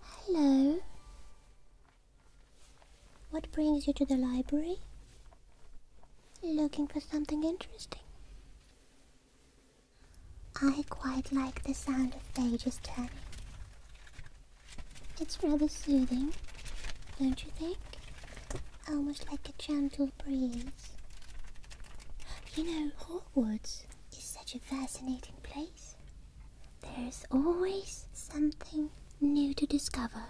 Hello. What brings you to the library? Looking for something interesting? I quite like the sound of pages turning. It's rather soothing, don't you think? Almost like a gentle breeze. You know, Woods is such a fascinating place. There's always something new to discover.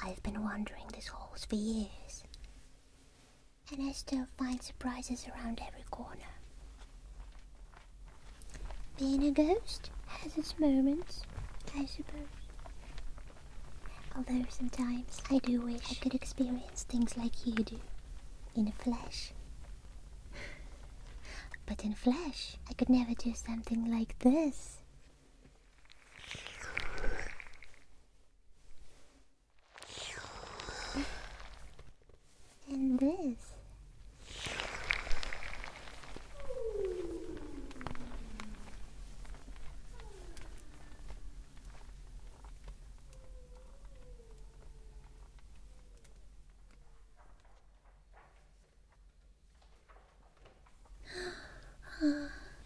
I've been wandering these halls for years, and I still find surprises around every corner. Being a ghost has its moments, I suppose. Although sometimes I do wish I could experience things like you do in a flash. But in flesh, I could never do something like this. And this.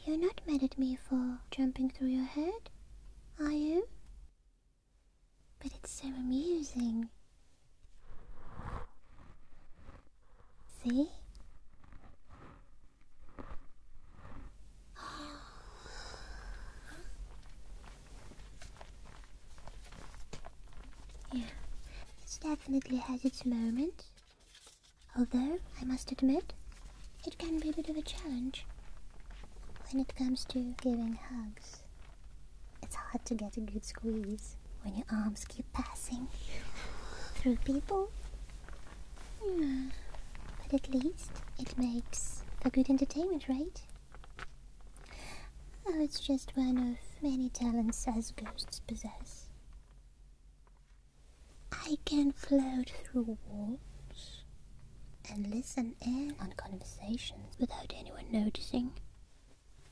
You're not mad at me for jumping through your head, are you? But it's so amusing. See? yeah, it definitely has its moments. Although, I must admit, it can be a bit of a challenge when it comes to giving hugs. It's hard to get a good squeeze when your arms keep passing through people yeah. Hmm. But at least it makes for good entertainment, right? Oh, it's just one of many talents as ghosts possess. I can float through walls and listen in on conversations without anyone noticing.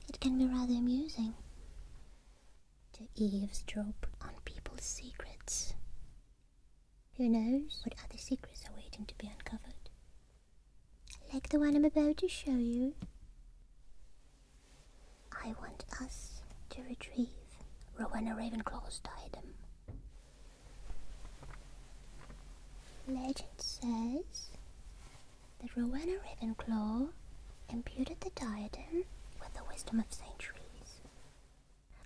It can be rather amusing to eavesdrop on people's secrets. Who knows what other secrets are waiting to be uncovered? Like the one I'm about to show you. I want us to retrieve Rowena Ravenclaw's diadem. Legend says that Rowena Ravenclaw imbued the diadem with the wisdom of centuries.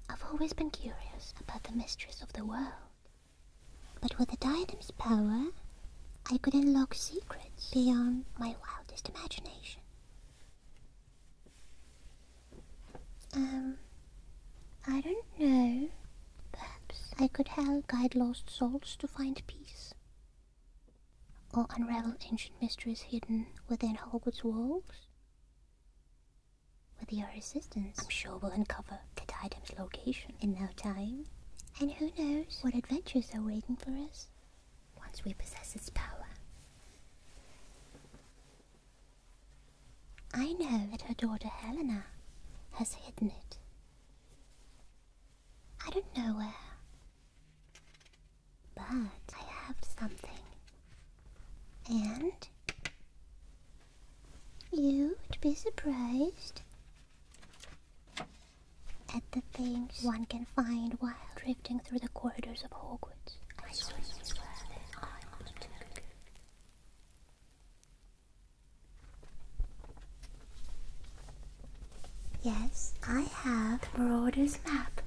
I've always been curious about the mysteries of the world. But with the diadem's power, I could unlock secrets beyond my wildest imagination. Um, I don't know. Perhaps I could help guide lost souls to find peace. Or unravel ancient mysteries hidden within Hogwarts walls? With your assistance, I'm sure we'll uncover the item's location in no time. And who knows what adventures are waiting for us once we possess its power. I know that her daughter Helena has hidden it. I don't know where. But I have something. And you would be surprised at the things one can find while drifting through the corridors of Hogwarts. I swear, that I'm good. Yes, I have the Marauder's map.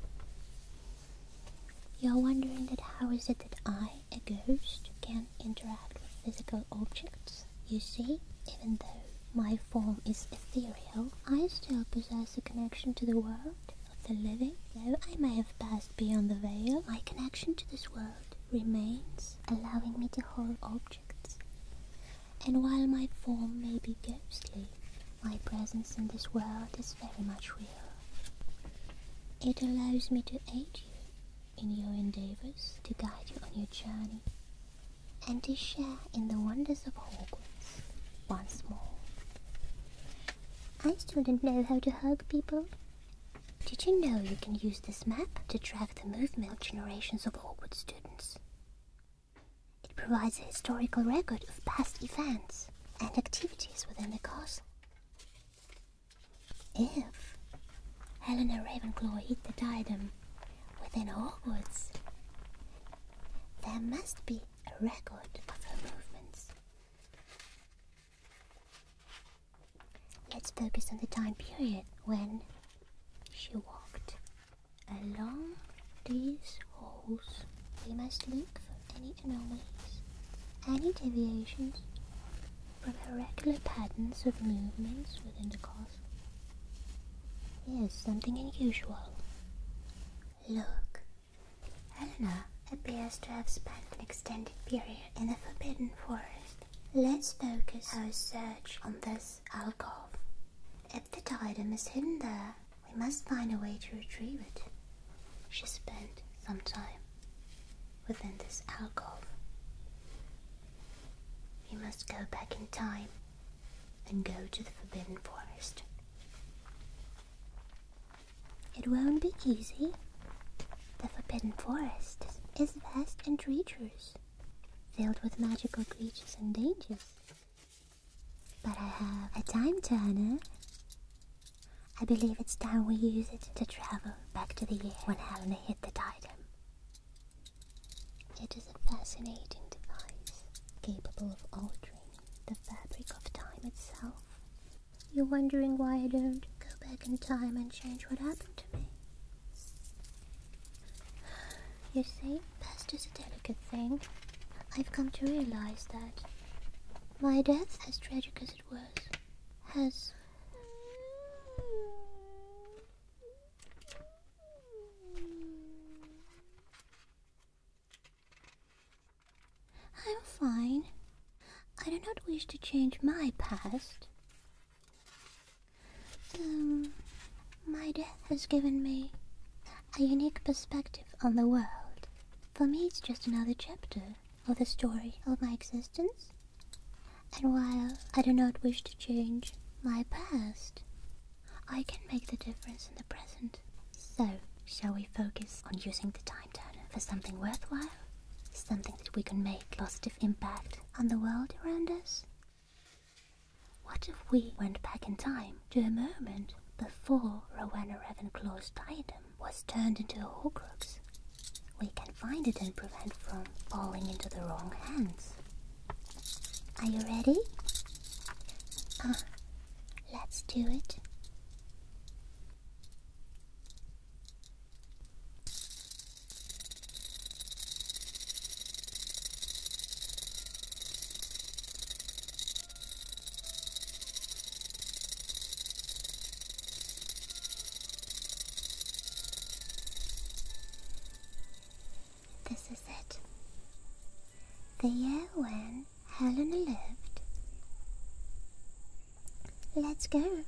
You're wondering that how is it that I, a ghost, can interact with physical objects? You see, even though my form is ethereal, I still possess a connection to the world of the living. Though I may have passed beyond the veil, my connection to this world remains, allowing me to hold objects. And while my form may be ghostly, my presence in this world is very much real. It allows me to aid you in your endeavors, to guide you on your journey, and to share in the wonders of Hogwarts once more. I still don't know how to hug people. Did you know you can use this map to track the movement of generations of Hogwarts students? It provides a historical record of past events and activities within the castle. If Helena Ravenclaw hid the diadem within Hogwarts, there must be a record of her movements. Let's focus on the time period when she walked. Along these holes, we must look for any anomalies, any deviations from regular patterns of movements within the castle. Here's something unusual. Look, Helena appears to have spent an extended period in the Forbidden Forest. Let's focus our search on this alcove. If the diadem is hidden there, we must find a way to retrieve it. She spent some time within this alcove. We must go back in time and go to the Forbidden Forest. It won't be easy. The Forbidden Forest is vast and treacherous, filled with magical creatures and dangers. But I have a time turner. I believe it's time we use it to travel back to the year when Helena hit the Diadem. It is a fascinating device, capable of altering the fabric of time itself. You're wondering why I don't go back in time and change what happened to me? You see, past is a delicate thing. I've come to realize that my death, as tragic as it was, has. I'm fine. I do not wish to change my past. Um, my death has given me a unique perspective on the world. For me, it's just another chapter of the story of my existence. And while I do not wish to change my past, I can make the difference in the present. So, shall we focus on using the time turner for something worthwhile? Something that we can make positive impact on the world around us? What if we went back in time to a moment before Rowena Ravenclaw's item was turned into a Horcrux? We can find it and prevent from falling into the wrong hands. Are you ready? Uh, let's do it. This is it. The year when Helena lived. Let's go.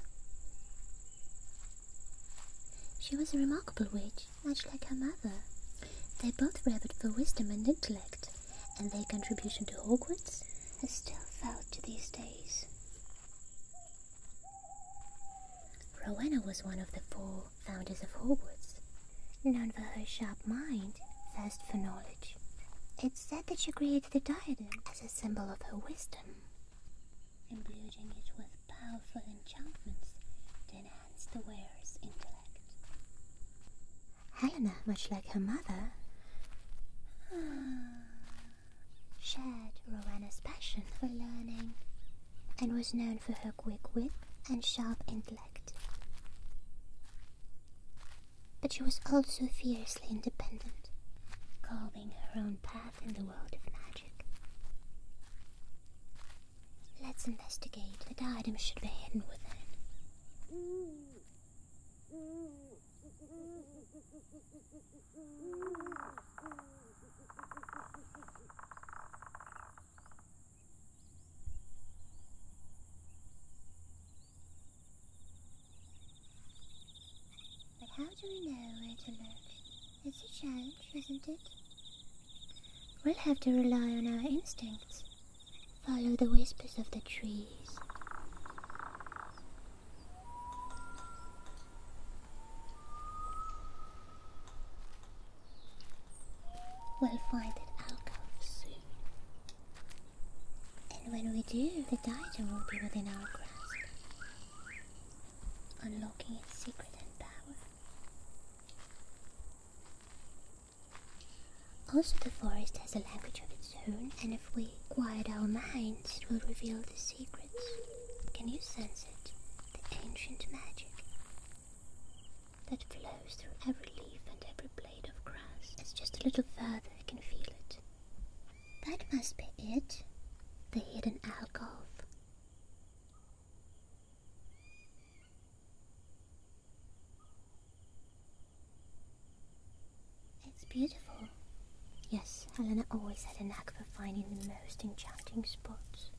She was a remarkable witch much like her mother. They both raved for wisdom and intellect, and their contribution to Hogwarts is still felt to these days. Rowena was one of the four founders of Hogwarts, known for her sharp mind, thirst for knowledge. It's said that she created the diadem as a symbol of her wisdom, imbuing it with powerful enchantments to Helena, much like her mother, ah. shared Rowena's passion for learning and was known for her quick wit and sharp intellect. But she was also fiercely independent, carving her own path in the world of magic. Let's investigate. The diadem should be hidden within. But how do we know where to look? It's a challenge, isn't it? We'll have to rely on our instincts. Follow the whispers of the trees. We'll find an alcove soon. And when we do, the diadem will be within our grasp. Unlocking its secret and power. Also, the forest has a language of its own, and if we quiet our minds, it will reveal the secrets. Can you sense it? The ancient magic that flows through every leaf and every blade of grass. It's just a little further, I can feel it. That must be it. The hidden alcove. It's beautiful. Yes, Helena always had a knack for finding the most enchanting spots.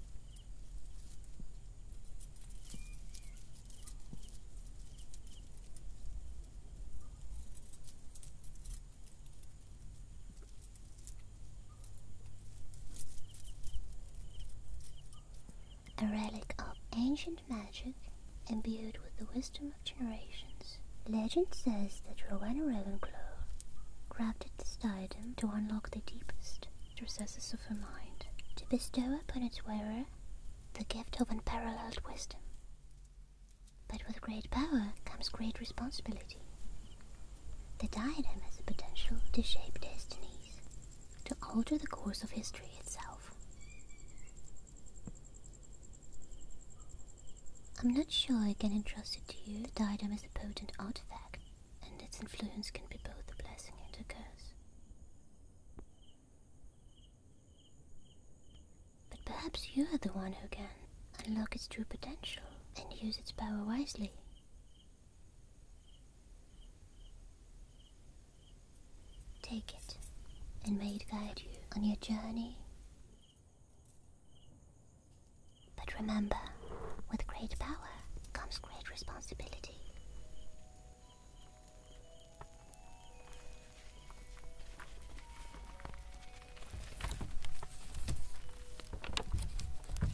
A relic of ancient magic, imbued with the wisdom of generations. Legend says that Rowena Ravenclaw crafted this diadem to unlock the deepest recesses of her mind, to bestow upon its wearer the gift of unparalleled wisdom. But with great power comes great responsibility. The diadem has the potential to shape destinies, to alter the course of history itself. I'm not sure I can entrust it to you. The diadem is a potent artifact, and its influence can be both a blessing and a curse. But perhaps you are the one who can unlock its true potential and use its power wisely. Take it, and may it guide you on your journey. But remember, with great power comes great responsibility.